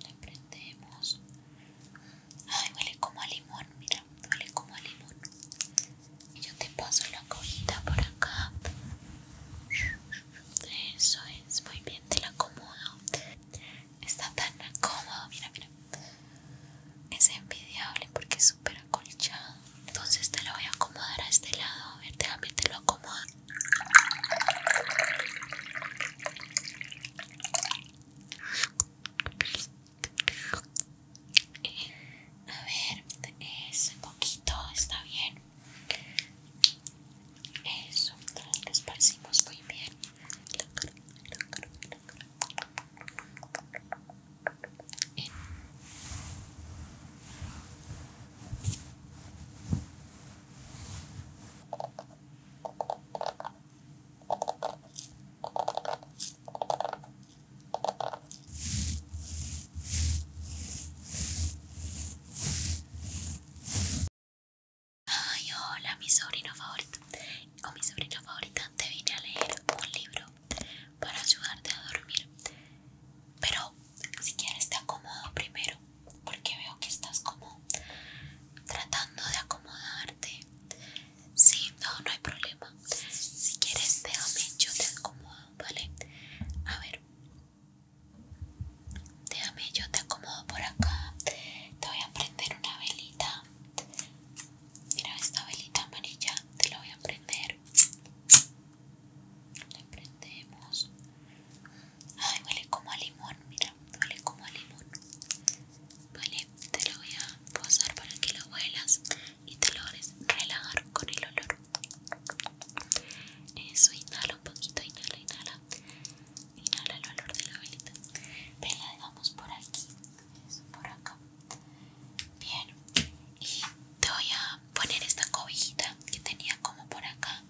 Le prendemos. Ay, huele como a limón, mira, huele como a limón. Y yo te paso la cojita por acá. Eso es, muy bien, te la acomodo. Está tan cómodo, mira, mira. Es envidiable porque es súper acolchado. Entonces te la voy a acomodar a este lado. A ver, déjame te lo acomodo. A ver, ese poquito, está bien. Eso, lo esparcimos muy bien. Bien. Ay, hola, mi sobrino favorito o mi sobrino favorita, te vine a leer un libro para ayudarte a dormir. Pero si quieres te acomodo primero porque veo que estás como tratando de acomodarte Sí, no, no hay problema Si quieres déjame, yo te acomodo, ¿vale? A ver Déjame, yo te acomodo por acá Te voy a prender una velita Mira esta velita amarilla, te la voy a prender la prendemos Ay, huele como a limón, mira, huele como a limón. Vale, te lo voy a posar para que lo huelas y te lo logres relajar con el olor. Eso, inhala un poquito, inhala, inhala. Inhala el olor de la velita. Ven, la dejamos por aquí. Eso, por acá. Bien. Y te voy a poner esta cobijita que tenía como por acá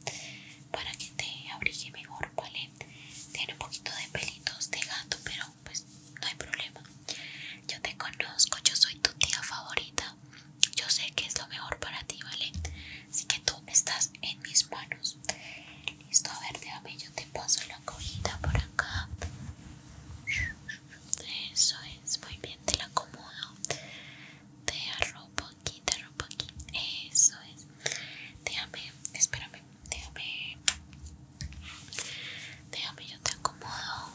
para que te abrigue mejor, ¿vale? Tiene un poquito de pelitos de gato, pero pues no hay problema. Yo te conozco, yo soy tu tía favorita. Yo sé que es lo mejor para ti, ¿vale? Así que tú estás en mis manos. Listo, a ver, déjame, yo te paso la cojita por acá. Eso es, muy bien, te la acomodo. Te arrojo rompo aquí, te Eso es. Déjame, espérame, déjame. Déjame, yo te acomodo.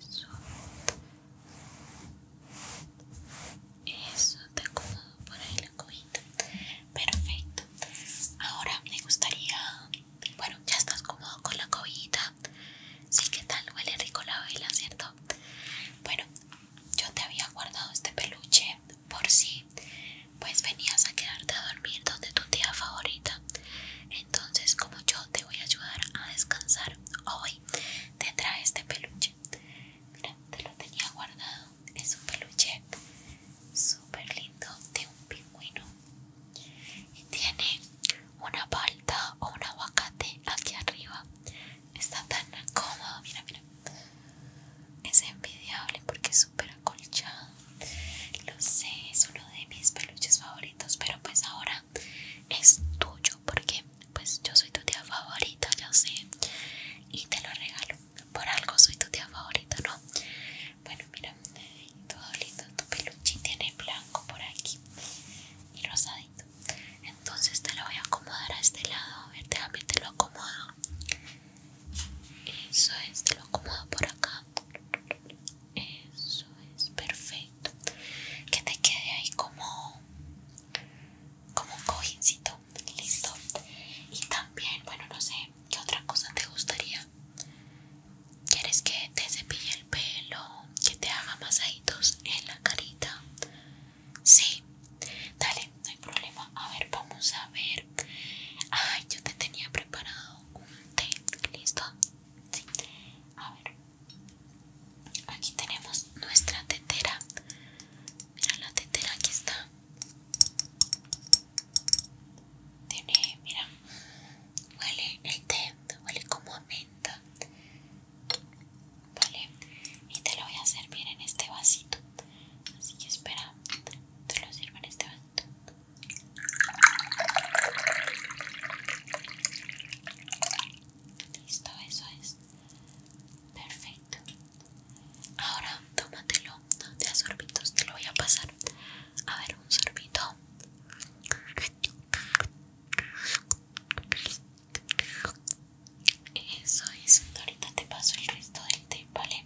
Eso. Eso, te acomodo por ahí la cojita. Perfecto. Ahora me gustaría. Bueno, ya estás cómodo con la cojita, Sí, ¿qué tal? Huele rico la vela, ¿cierto? Bueno, yo te había guardado este peluche por si pues venías a quedarte a dormir donde tu tía favorita. Entonces, como yo te voy a ayudar a descansar hoy, te este peluche. Mira, te lo tenía guardado. Es un peluche súper lindo de un pingüino. Y tiene una palta o un aguacate aquí arriba. Está tan cómodo, mira, mira. Es envidiable porque es súper acolchado. Lo sé, es uno de mis peluches favoritos, pero pues ahora es tuyo porque pues yo soy tu tía favorita, ya sé. Y te lo regalo. Por algo soy tu tía favorita, ¿no? Bueno, mira, todo lindo. Tu peluche tiene blanco por aquí y rosadito entonces te lo voy a acomodar a este lado a ver te lo acomodo eso es te lo acomodo por acá eso es perfecto que te quede ahí como como un cojincito listo y también bueno no sé qué otra cosa te gustaría quieres que te cepille el pelo que te haga masajitos en la carita Sí, dale, no hay problema. A ver, vamos a ver. Ay, yo te tenía preparado un té. ¿Listo? Sí. A ver. Aquí tenemos nuestra tetera. Mira la tetera, aquí está. Tiene, mira, huele el té, huele como a menta. Vale, y te lo voy a servir en este vasito. Así que espera, te lo sirvo en este vasito. Listo, eso es. Perfecto. Ahora tómatelo, no te sorbitos, te lo voy a pasar. A ver, un sorbito. Eso es, ahorita te paso el resto del té, ¿vale?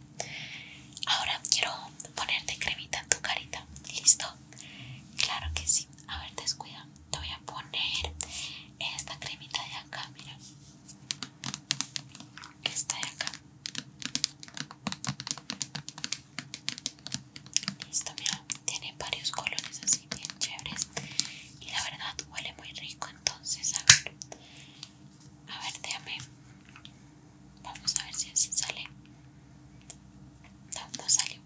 Ahora quiero ponerte cremita en tu carita, ¿listo? Claro que sí, a ver, descuida, te voy a poner esta cremita de acá, mira Esta de acá Listo, mira, tiene varios colores así bien chéveres y la verdad huele muy rico entonces a ver a ver déjame vamos a ver si así sale no, no salió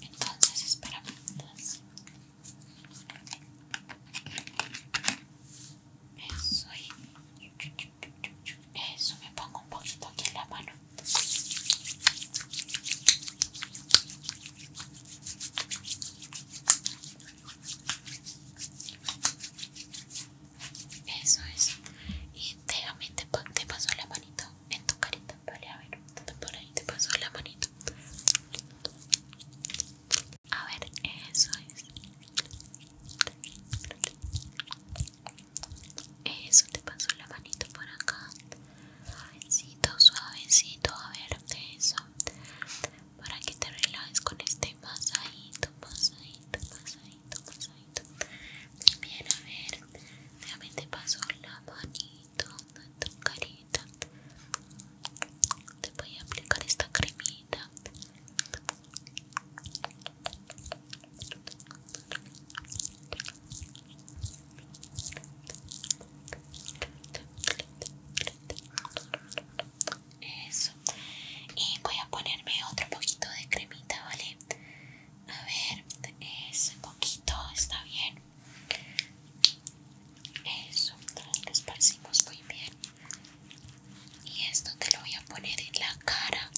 entonces espérame eso y eso me pongo un poquito aquí en la mano eso es. Y déjame, te, te la manito en tu carita. Vale, a ver, por ahí te pasó la manito. A ver, eso es. Eso te pasó la manito por acá. Suavecito, suavecito, a ver eso Para que te relajes con este pasadito, pasadito, pasadito, pasadito Bien, a ver, realmente te paso la manito tu carita Te voy a aplicar esta cremita eso. Y voy a ponerme otro poquito de cremita, ¿vale? A ver, ese poquito está bien. Eso, lo esparcimos muy bien. Y esto te lo voy a poner en la cara.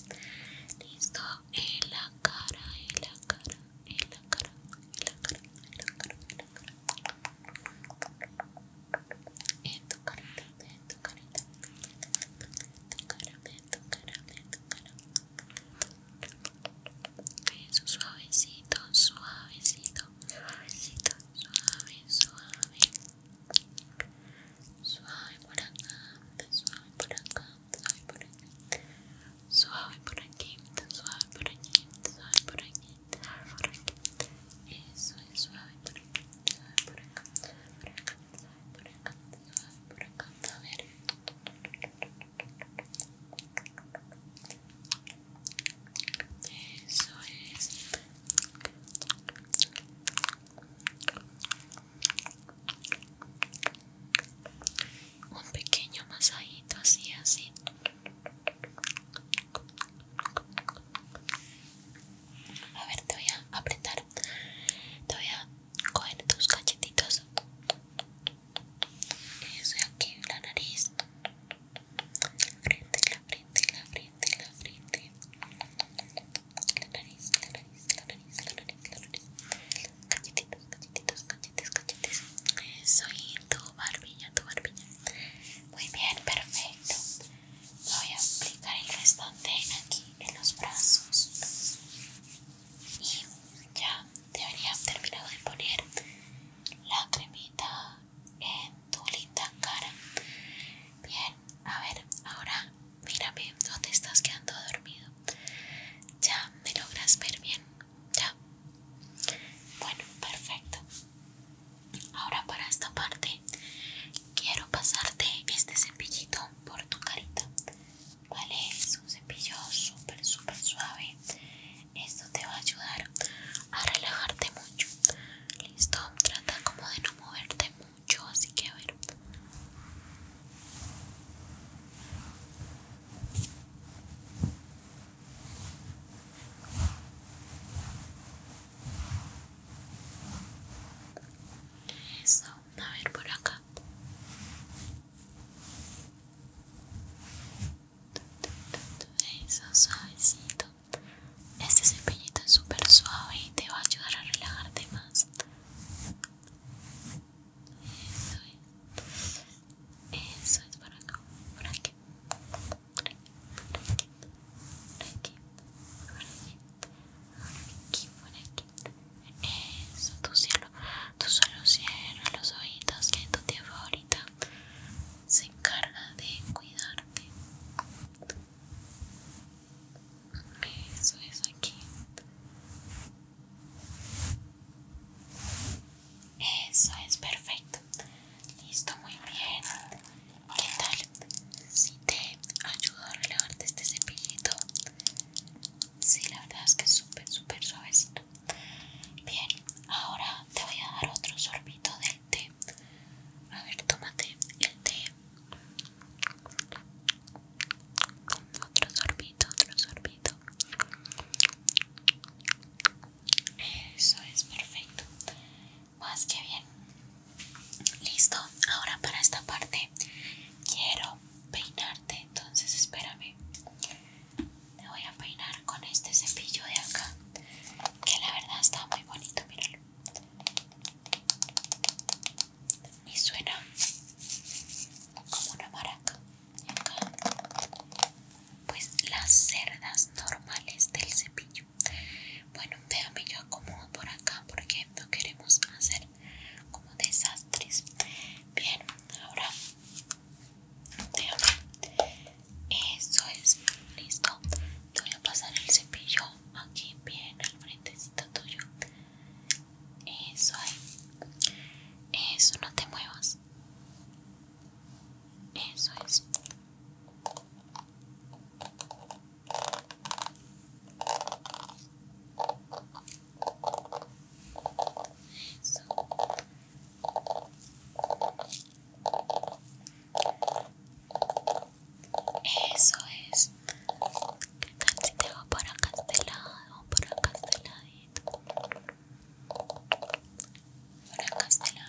Listo, en la cara, en la cara en la cara, cara, cara, cara. tu suavecito, suavecito, suavecito, suave, suave. Suave por acá, suave por acá, suave por suave por aquí, suave por aquí, suave por aquí, suave por aquí. Eso es suave por aquí, suave por acá, suave por acá, suave por acá, suave por acá. A ver. Eso es. Un pequeño masajito así, así. A ver, te voy a apretar. Te voy a coger tus cachetitos. Eso aquí, la nariz. La frente, la frente, la frente, la frente. La nariz, la nariz, la nariz, la nariz, la nariz. Cachetitos, cachetitos, cachetitos. Soy tu barbilla, tu barbilla. Muy bien, perfecto. Voy a aplicar el restante aquí en los brazos. Y ya debería haber terminado de poner la cremita en tu linda cara. Bien, a ver, ahora mírame, ¿dónde estás quedando dormido? ¿Ya me logras ver bien? Ya. Bueno, perfecto. Ahora para esta parte quiero pasarte este cepillito por tu carita. ¿Vale? Es un cepillo súper, súper suave. Esto te va a ayudar a relajarte mucho. Listo, trata como de no moverte mucho, así que a ver. Eso, a ver por acá. Eso, suavecito. Este cepillito es súper suave y te va a ayudar a relajarte más. Eso es. Eso es por acá. Por aquí. Por aquí. Por aquí. Por aquí. Por aquí. Por aquí. Por aquí. Eso. tu cielo, tu solo cielo, los oídos que tu tía favorita se encarga de cuidarte. Eso es aquí. Eso es perfecto. Listo, muy bien. ¿Qué tal? Si te ayudo a relevarte este cepillito. Sí, la verdad es que es súper, súper suavecito. Bien, ahora te voy a dar otro sorbito del té. A ver, tómate el té. Otro sorbito, otro sorbito. Eso es perfecto. Más pues, que bien. Listo. Ahora para esta parte quiero peinarte. Entonces espérame. Te voy a peinar con este cepillo de acá. Que la verdad está muy bonito, míralo. Y suena como una maraca pues las cerdas normales del cepillo bueno déjame yo acomodo por acá porque no queremos hacer como desastres bien ahora déjame eso es listo voy a pasar el cepillo aquí bien al frentecito tuyo eso ahí eso no te muevas eso es. Eso. Eso es. ¿Qué tal si te va por acá este lado? Por acá este lado por acá este lado.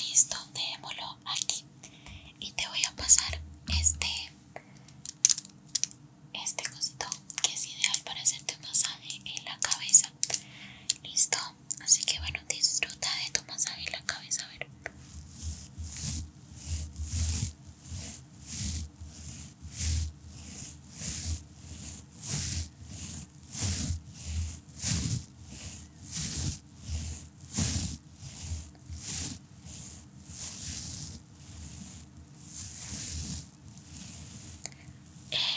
Listo, dejémoslo aquí y te voy a pasar este este cosito que es ideal para hacerte un masaje en la cabeza. Listo, Así que bueno, disfruta de tu masaje en la cabeza, ver.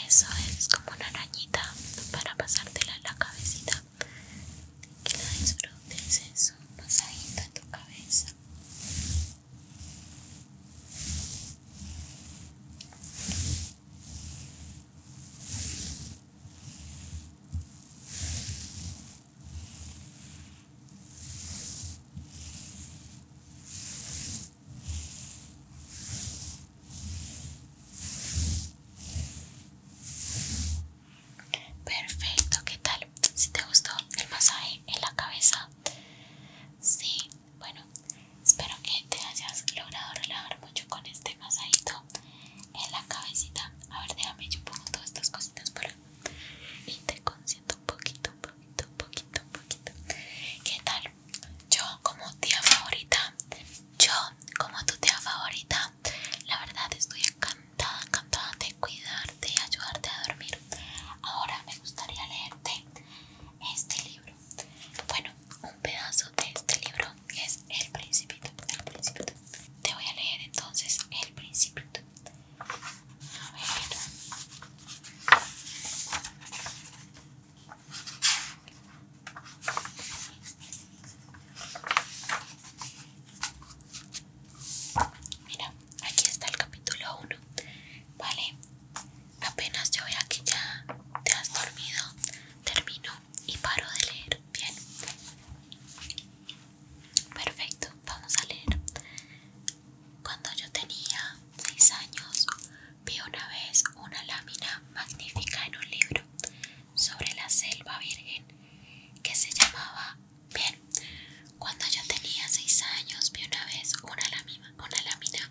Eso es como una arañita para pasártela en la cabecita que la disfrutes, es un en tu cabeza. Perfecto, ¿qué tal? Si te gustó el masaje en la cabeza, sí, bueno, espero que te hayas logrado relajar mucho con este masajito en la cabecita. A ver, déjame yo pongo todas estas cositas por y te consiento un poquito, un poquito, un poquito, un poquito. ¿Qué tal? Yo como tía favorita yo, como tu tía favorita, la verdad estoy encantada, encantada de cuidarte ayudarte a dormir. Ahora me gustaría leerte este libro. Bueno, un pedazo de este libro es El Principito. El Principito. Te voy a leer entonces El Principito. A ver. Mira, aquí está el capítulo 1. Vale, apenas yo vea que ya te has dormido, termino y paro de leer. Bien, perfecto, vamos a leer. Cuando yo tenía 6 años, vi una vez una lámina magnífica en un libro sobre la selva virgen que se llamaba Bien. Cuando yo tenía 6 años vi una vez una lámina, una lámina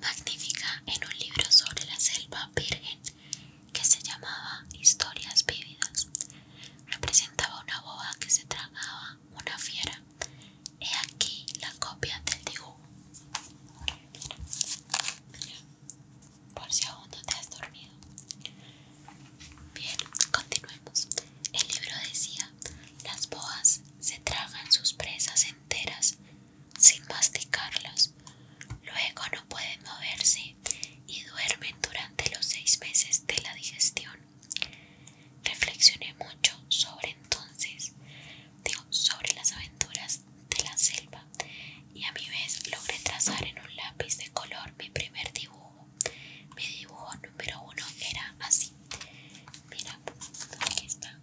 magnífica en un libro sobre la selva virgen que se llamaba Historias Vividas Representaba una boba que se tragaba una fiera. He aquí la copia del dibujo por si aún no te has dormido. Bien, continuemos. El libro decía, las boas se tragan sus presas enteras sin masticarlas, luego no pueden moverse y duermen durante los seis meses de la digestión. Reflexioné mucho sobre entonces digo, sobre las aventuras de la selva y a mi vez logré trazar en un lápiz de color mi primer dibujo. Mi dibujo número uno era así. Mira, aquí está.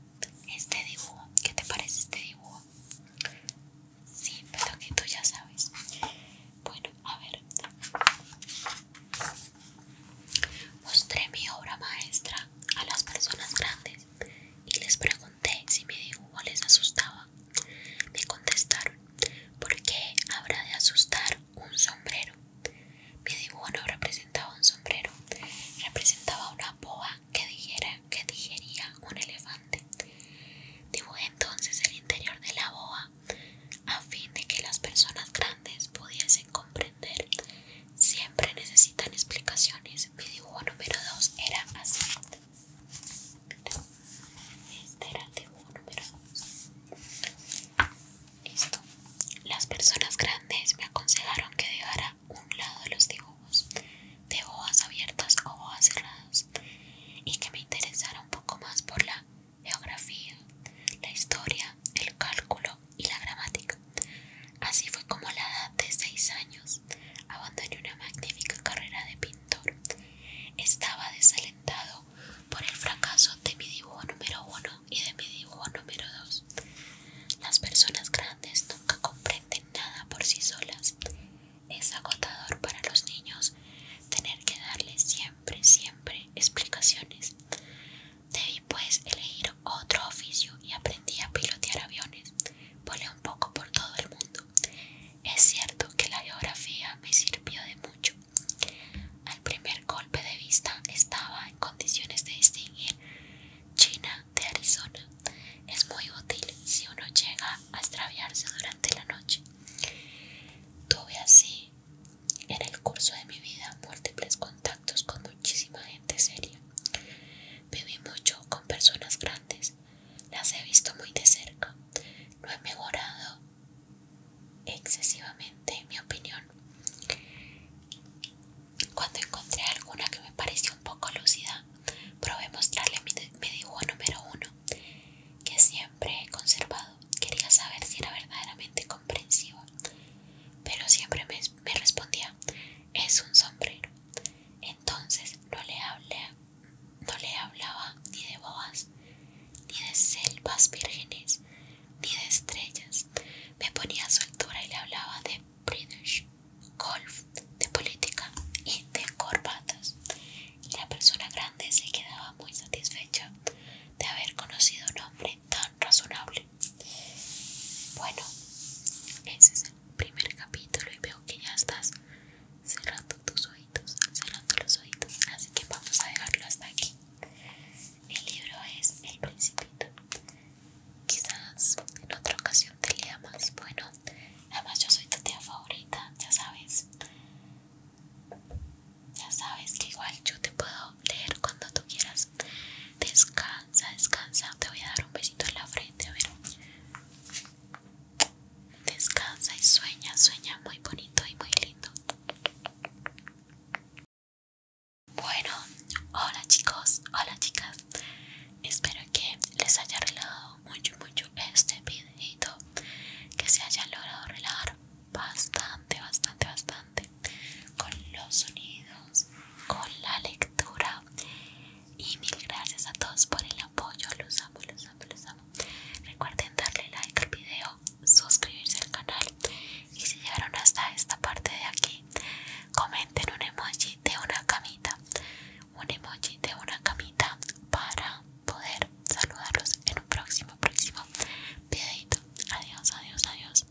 Este dibujo, ¿qué te parece este dibujo? Sí, pero que tú ya sabes. Bueno, a ver. Mostré mi obra maestra a las personas grandes y les pregunté si mi dibujo les asustaba. Me contestaron, ¿por qué habrá de asustar un sombrero? Mi dibujo no representaba un sombrero, representaba una boa que, dijera, que digería un elefante. Dibujé entonces el interior de la boa a fin de que las personas grandes pudiesen comprender. Siempre necesitan explicaciones mi dibujo número 2 era así este era el dibujo número 2 listo las personas grandes me aconsejaron que dejara un lado de los dibujos de hojas abiertas o hojas cerradas y que me interesara un poco más por la geografía, la historia, el cálculo y la gramática. Así fue como a la edad de seis años abandoné una magnífica carrera de pintor. Estaba desalentado por el fracaso de mi dibujo número uno y de mi dibujo número 2. Las personas grandes nunca comprenden nada por sí solas. Es agotador para los niños tener que darles siempre, siempre explicaciones. Debí pues elegir otro oficio y aprendí a pilotear aviones volé un poco por todo el mundo. Es cierto que la geografía me sirvió de mucho. Al primer golpe de vista estaba en condiciones de distinguir China de Arizona. Es muy útil si uno llega a extraviarse durante la noche. Tuve así en el curso de mi vida múltiples contactos con muchísima gente seria. Viví mucho con personas grandes, las he visto muy de cerca, no he mejorado excesivamente en mi opinión. Cuando encontré alguna que me pareció un poco lúcida, probé mostrarle mi, dibujo número uno, que siempre he conservado. Quería saber si era verdaderamente comprensiva, pero siempre me, me respondía, es un sombrero. Entonces no le, hablaba ni de bobas, ni de selvas vírgenes, ni de estrellas. Me ponía a su altura y le hablaba de British, golf, de política y de corbatas. Y la persona grande se quedaba muy satisfecha de haber conocido un hombre tan razonable. Bueno, ese es el primer capítulo y veo que ya estás cerrando tus oídos, cerrando los oídos, así que vamos a dejarlo hasta aquí. El libro es El Principito. Quizás en otra ocasión te lea más. Bueno, además yo soy tu tía favorita, ya sabes. Ya sabes que igual yo te puedo leer cuando tú quieras. Descansa, descansa. Te voy a dar un besito en la frente. A ver. Descansa y sueña, sueña muy bonito y muy lindo. Bueno, hola chicos, hola chicas. Espero que les haya relajado mucho, mucho este videito. Que se haya logrado relajar bastante, bastante, bastante. Con los sonidos, con la lectura y mil gracias a todos por el apoyo. Los amo, los amo, los amo. Recuerden darle like al video, suscribirse al canal. Y si llegaron hasta esta parte de aquí, comenten un emoji de una camita. Un emoji de una camita para poder saludarlos en un próximo, próximo videito. Adiós, adiós, adiós.